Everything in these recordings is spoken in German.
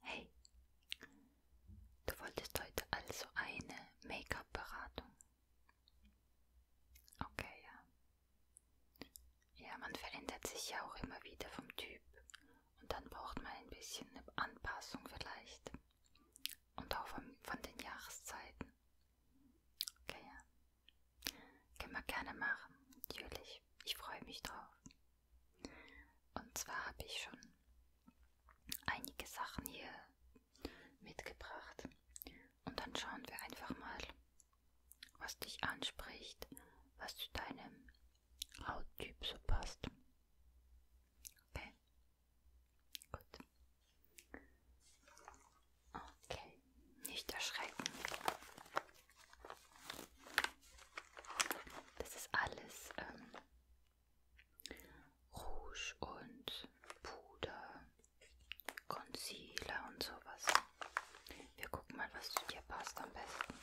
Hey, du wolltest heute also eine Make-up-Beratung. Okay, ja. Ja, man verändert sich ja auch immer wieder vom Typ und dann braucht man ein bisschen eine Anpassung vielleicht. Und auch von, von den Jahreszeiten. Okay, ja. Können wir gerne machen, natürlich. Ich freue mich drauf. Und zwar habe ich schon einige Sachen hier mitgebracht. Und dann schauen wir einfach mal, was dich anspricht, was zu deinem Hauttyp so passt. Okay. Gut. Okay, nicht erschrecken. Das ist alles ähm, Rouge und Puder, Concealer und sowas. Wir gucken mal, was zu dir passt am besten.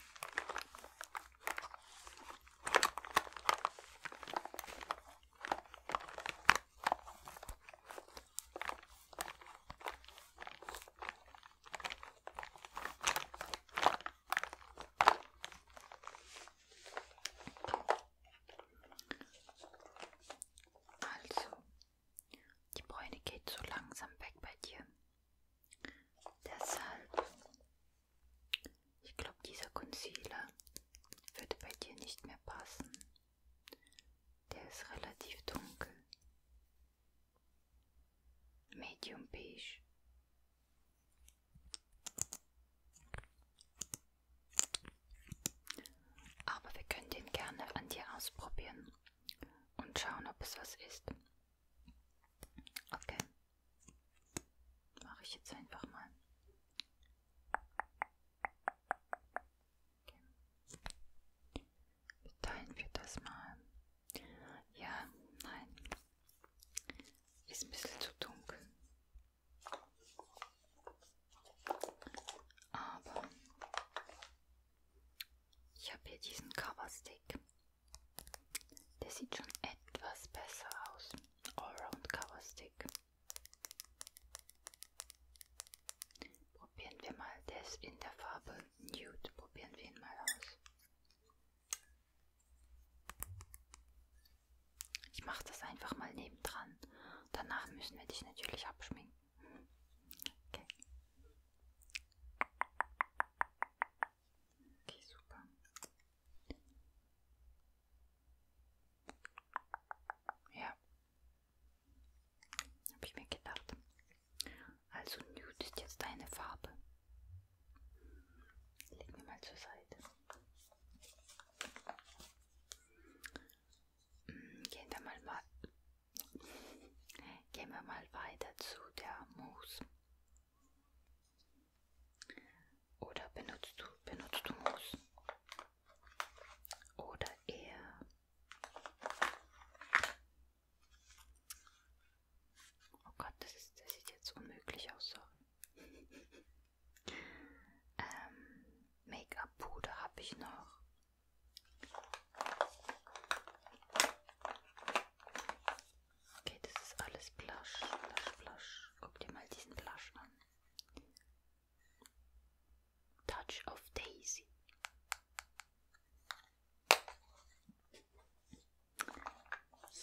Also, die Bräune geht so langsam weg bei dir. Deshalb, ich glaube, dieser Concealer würde bei dir nicht mehr passen. Der ist relativ dunkel. Medium Beige. Aber wir können den gerne an dir ausprobieren und schauen, ob es was ist. Okay. Mache ich jetzt einfach mal. Okay. Teilen wir das mal. Ja, nein. Ist ein bisschen zu dunkel. Aber ich habe hier diesen Coverstick. Der sieht schon etwas besser aus. Allround Coverstick. Probieren wir mal das in der Farbe Nude. Probieren wir ihn mal aus. Ich mache das einfach mal nebendran. Danach müssen wir dich natürlich abschminken. Okay. Okay, super. Ja. Habe ich mir gedacht. Also Nude ist jetzt deine Farbe. Legen wir mal zur Seite. Hm, gehen wir mal, mal, gehen wir mal weiter zu der Mousse. Oder benutzt du, benutzt du Mousse? Oder eher Oh Gott, das, ist, das sieht jetzt unmöglich aus, sorry. ähm, Make-up-Puder habe ich noch. Okay, das ist alles Blush, Blush, Blush. Guck dir mal diesen Blush an. Touch of Daisy.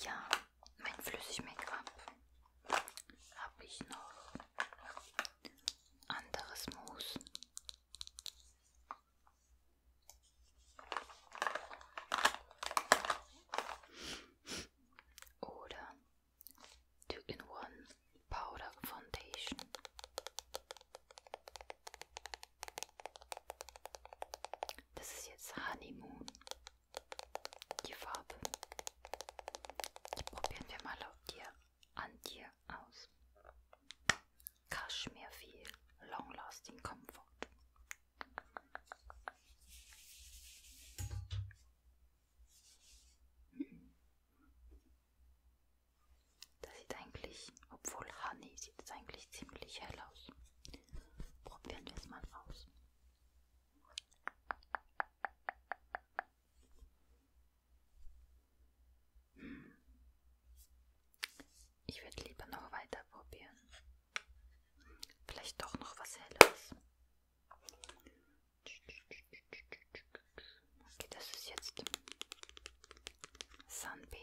Ja, mein Flüssig-Make-up habe ich noch anderes Mousse. Oder Two in One Powder Foundation. Das ist jetzt Honeymoon. Die Farbe. Die probieren wir mal auf dir, an dir aus. Kaschmir viel. Long lasting comfort. Hm. Das sieht eigentlich, obwohl Honey sieht es eigentlich ziemlich hell aus. Probieren wir es mal aus. Hm. Ich werde lieber noch weiter probieren. Vielleicht doch noch was Helles. Okay, das ist jetzt Sunbeige.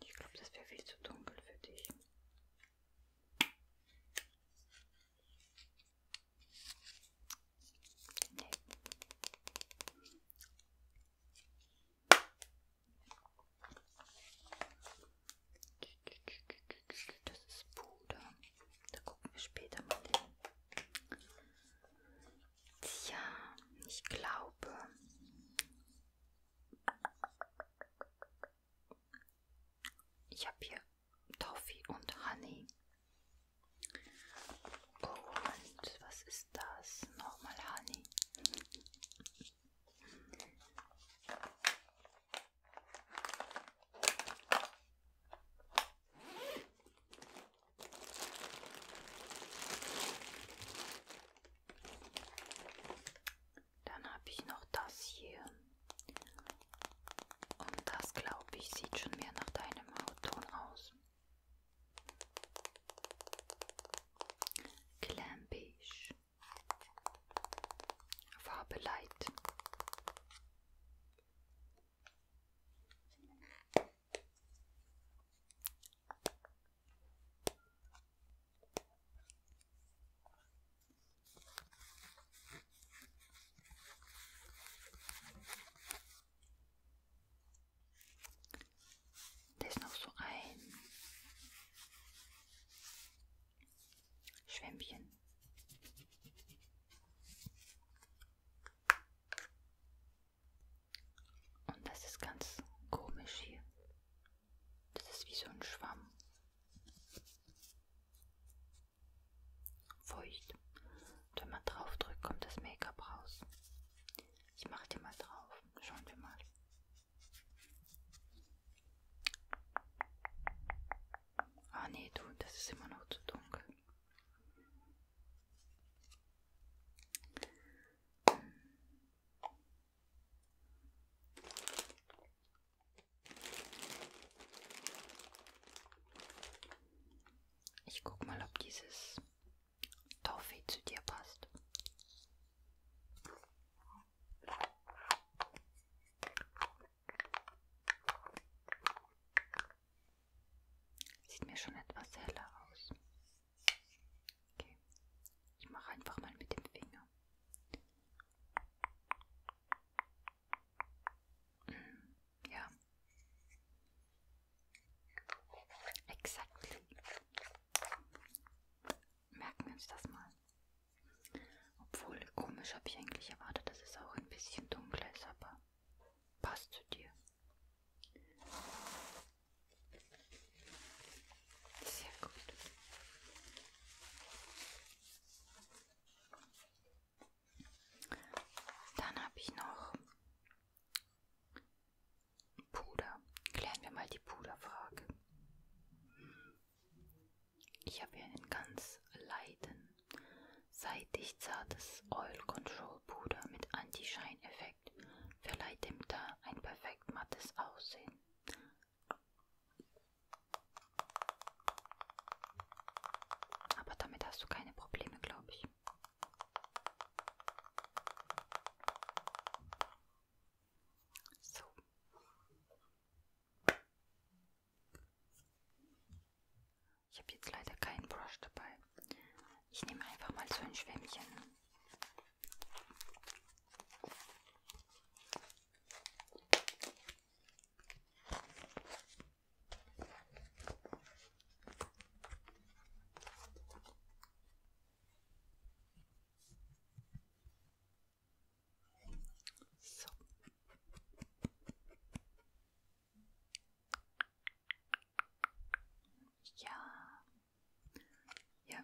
Ich glaube, das wäre viel zu dunkel für dich. Nee. Das ist Puder. Da gucken wir später mal hin. Ja, ich glaube. Ich habe hier Toffee und Honey. Und was ist das? Nochmal Honey. Dann habe ich noch das hier. Und das, glaube ich, sieht schon mehr nach deinem Hautton aus. Glampisch. Farbe Light. Da ist noch so ein Schwämmchen. Und das ist ganz komisch hier. Das ist wie so ein Schwamm. Feucht. Und wenn man drauf drückt, kommt das Make-up raus. Ich mache dir mal drauf. Schauen wir mal. Ah nee, du, das ist immer noch zu dunkel. Ich guck mal, ob dieses Toffee zu dir passt. Sieht mir schon etwas heller aus. Okay. Ich mache einfach mal mit dem Finger. Mm, ja. Exakt. Merken wir uns das mal. Obwohl, komisch habe ich eigentlich erwartet, dass es auch ein bisschen dunkler ist, aber passt zu dir. Sehr gut. Dann habe ich noch Puder. Klären wir mal die Puderfrage. Ich habe hier einen ganz leiten Seidig zartes Oil Control Puder mit Anti-Schein-Effekt verleiht dem Teint ein perfekt mattes Aussehen. Aber damit hast du keine Probleme, glaube ich. So. Ich habe jetzt leider keinen Brush dabei. Ich nehme einfach mal so ein Schwämmchen. So. Ja. Ja.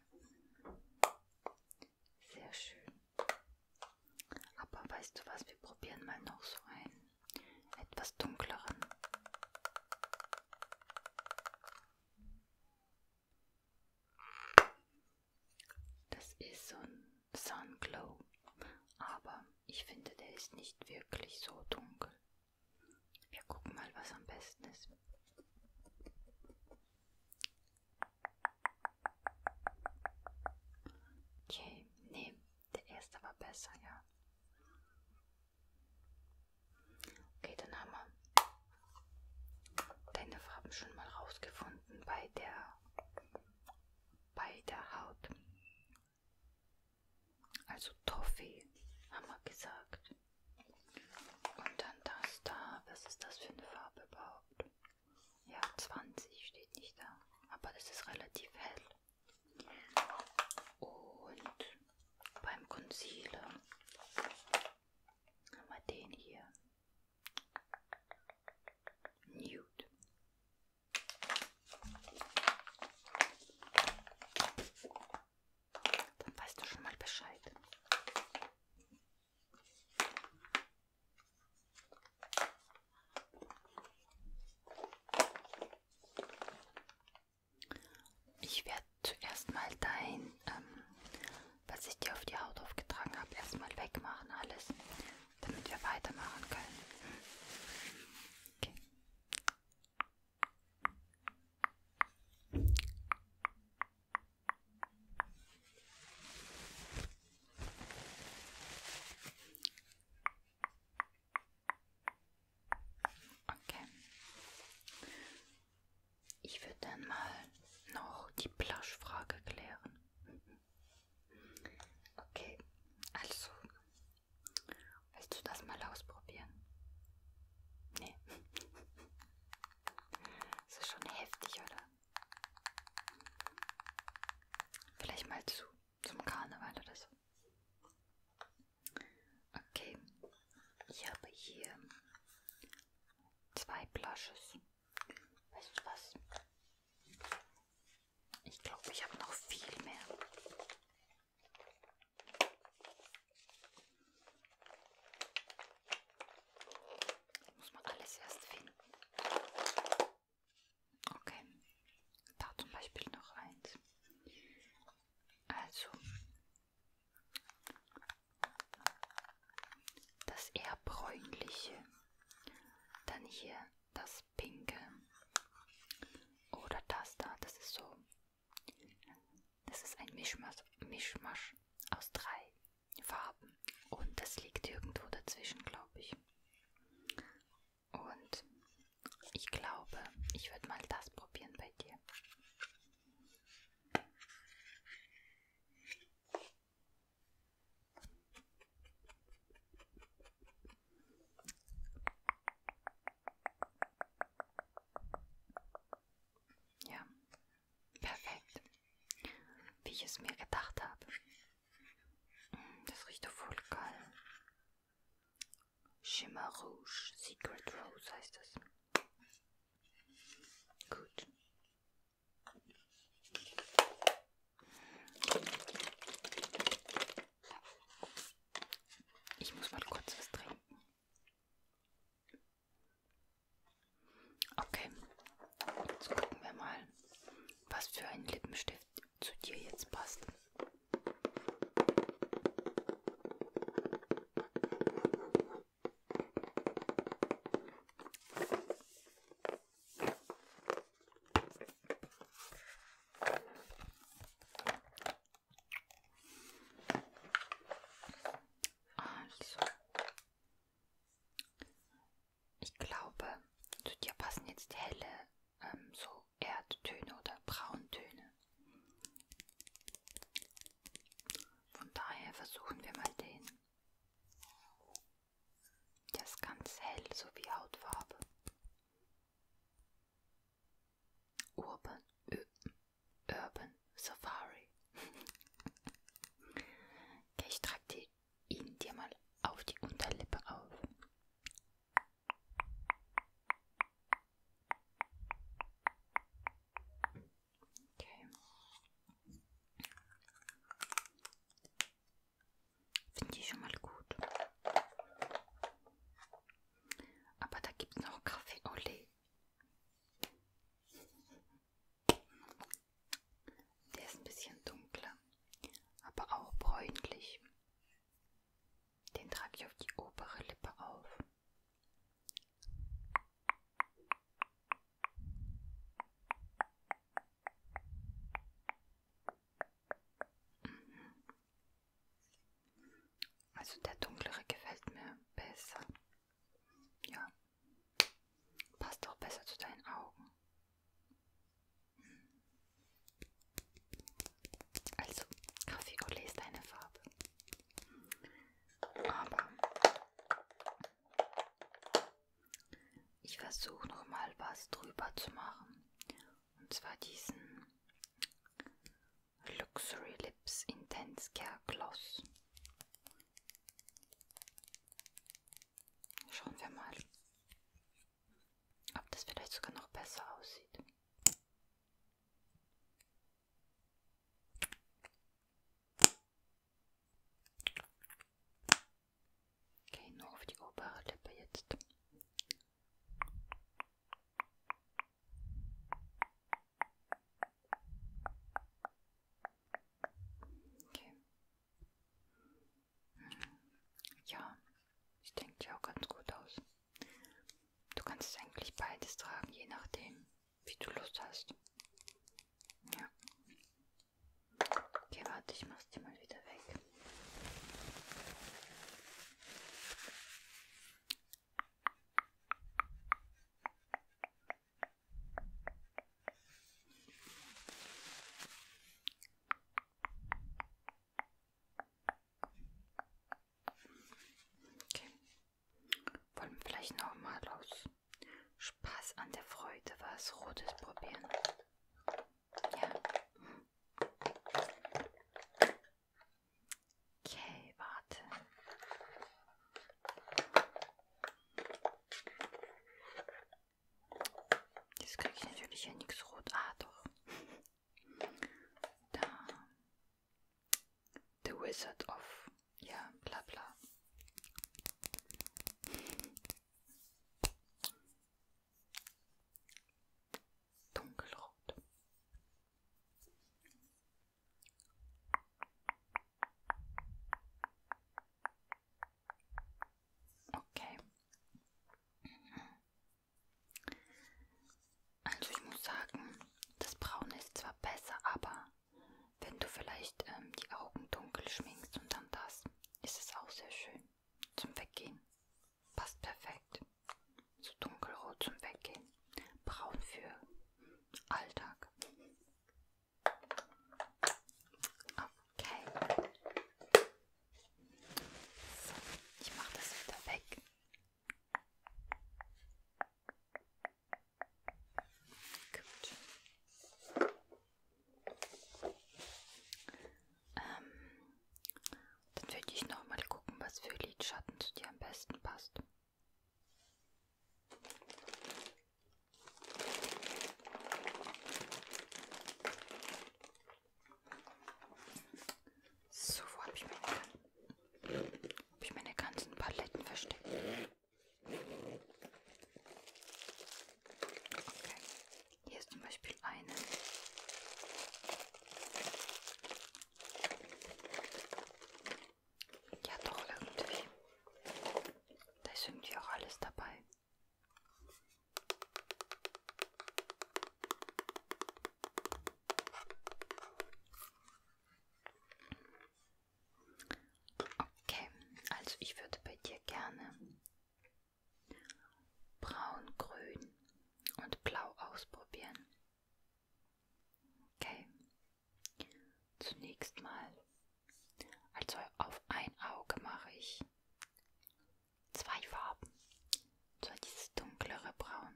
Sehr schön. Aber weißt du was, wir probieren mal noch so einen etwas dunkleren. Das ist so ein Sunglow, aber ich finde, der ist nicht wirklich so dunkel. Wir gucken mal, was am besten ist. Okay, nee, der erste war besser, ja. Okay, dann haben wir deine Farben schon mal rausgefunden bei der bei der Haut. Also Toffee, haben wir gesagt. Und dann das da. Was ist das für eine Farbe überhaupt? Ja, 20 steht nicht da. Aber das ist relativ hell. Und beim Concealer haben wir den hier. Nude. Dann weißt du schon mal Bescheid. Ich werde zuerst mal dein, ähm, was ich dir auf die Haut aufgetragen habe, erstmal wegmachen alles damit wir weitermachen können. Okay. Okay. Ich würde dann mal noch die Plush-Frage klären. Okay, also willst du das mal ausprobieren? Nee. Das ist schon heftig, oder? Vielleicht mal zu zum Karneval oder so. Okay, ich habe hier zwei Blushes. Weißt du was? Ich glaube, ich habe noch viel mehr. Das muss man alles erst finden. Okay, da zum Beispiel noch eins. Also, das eher bräunliche. Dann hier das Pinke. Oder das da, das ist so. Das ist ein Mischmasch, Mischmasch aus drei Farben. Und das liegt irgendwo dazwischen, glaube ich. Und ich glaube, ich würde mal das probieren bei dir. Ja, perfekt. Wie ich es mir gedacht habe. Mm, das riecht voll geil. Shimmer Rouge, Secret Rose heißt es. Gut. Ich muss mal kurz was trinken. Okay, jetzt gucken wir mal, was für ein Lippenstift zu dir jetzt passt. Also. Ich glaube, zu dir passen jetzt helle, ähm, so Erdtöne oder Brauntöne. Von daher versuchen wir mal den. Der ist ganz hell, so wie Hautfarbe. Urban, Ö Urban Safari. okay, ich trage die, ihn dir mal auf die Unterlippe auf. Okay. Finde ich schon mal gut. Aber da gibt es noch Kaffee Olé. Oh, Der ist ein bisschen dunkler, aber auch bräunlich. Den trage ich auf die obere Lippe auf. Also der dunklere gefällt mir besser. Ja. Passt auch besser zu deinen Augen. Also, Kaffee Olé ist deine Farbe. Aber ich versuche noch mal was drüber zu machen. Und zwar diesen Luxury Lips Intense Care Gloss. Schauen wir mal, ob das vielleicht sogar noch besser aussieht. Okay, nur auf die obere Lippe jetzt. Okay. Hm. Ja, ich denke ja auch ganz gut aus. Du kannst eigentlich beides tragen, je nachdem, wie du Lust hast. Ja. Okay, warte, ich mach's dir mal wieder weg. Okay. Wollen wir vielleicht nochmal aus Spaß an der Freude, was Rotes probieren. Ja. Okay, warte. Jetzt kriege ich natürlich hier nichts rot. Ah, doch. Da. The Wizard of ja, bla bla. Dunkelrot. Okay. Also ich muss sagen, das Braune ist zwar besser, aber wenn du vielleicht ähm, die Augen dunkel schminkst und dann das, ist es auch sehr schön zum Weggehen. Passt perfekt. So dunkelrot zum Weggehen. Braun für Alltag. Okay. So, ich mache das wieder weg. Gut. Ähm, dann würde ich noch mal gucken, was für Lidschatten zu dir am besten passt. So, wo habe ich, meine, hab ich meine ganzen Paletten versteckt? Okay. Hier ist zum Beispiel eine. Ja, doch, irgendwie. Da ist irgendwie auch alles dabei. Okay, also ich würde bei dir gerne braun, grün und blau ausprobieren. Okay, zunächst mal, also auf ein Auge mache ich zwei Farben. So dieses dunklere Braun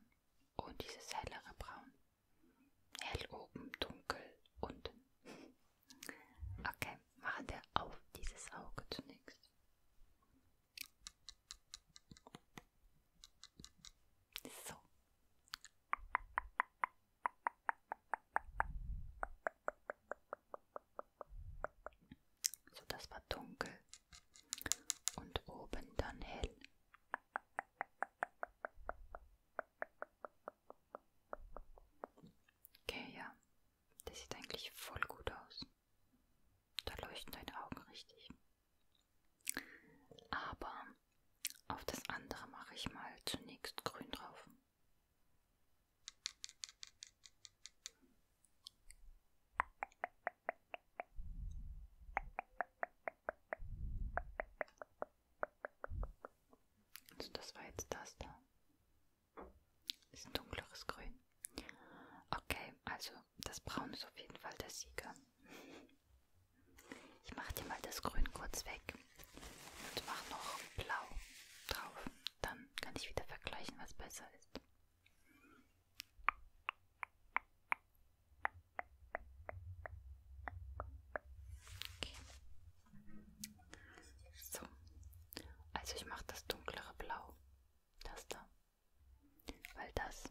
und dieses hellere Braun. Hell oben, dunkel unten. Okay, machen wir auf dieses Auge zunächst. So. So, das war dunkel und oben dann hell. Okay, ja. Der sieht eigentlich voll gut aus. Da leuchten deine Augen richtig. Aber auf das andere mache ich mal zunächst grün drauf. Also das war jetzt das da. Ist ein dunkleres Grün. Okay, also das Braun ist auf jeden Fall der Sieger. Ich mache dir mal das Grün kurz weg und mache noch Blau drauf. Dann kann ich wieder vergleichen, was besser ist. Okay. So, also ich mache das dunklere Blau, das da, weil das,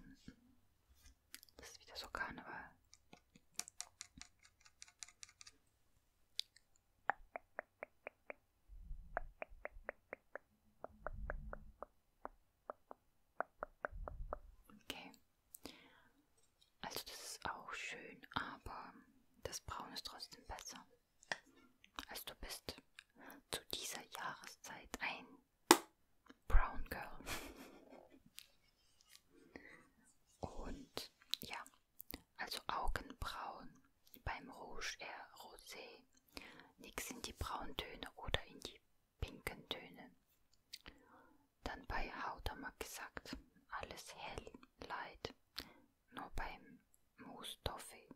das ist wieder so Karneval. Okay, also das ist auch schön, aber das Braun ist trotzdem besser. Also du bist zu dieser Jahreszeit ein Brown Girl. Und ja, also Augenbrauen beim Rouge eher Rosé. Nix in die braunen Töne oder in die pinken Töne dann bei Haudamak gesagt, alles hell, light, nur beim Mousse Toffee.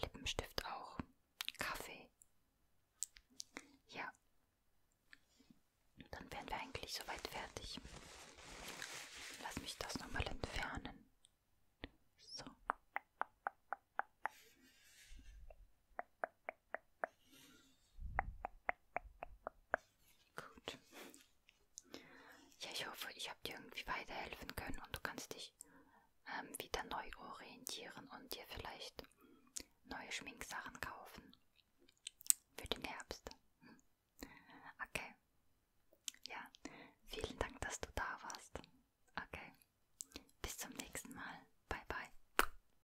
Lippenstift auch, Kaffee. Ja, dann wären wir eigentlich soweit fertig. Lass mich das nochmal entfernen. So. Gut. Ja, ich hoffe, ich habe dir irgendwie weiterhelfen können und du kannst dich ähm, wieder neu orientieren und dir vielleicht neue Schminksachen kaufen. Für den Herbst. Hm. Okay. Ja, vielen Dank, dass du da warst. Okay. Bis zum nächsten Mal. Bye, bye.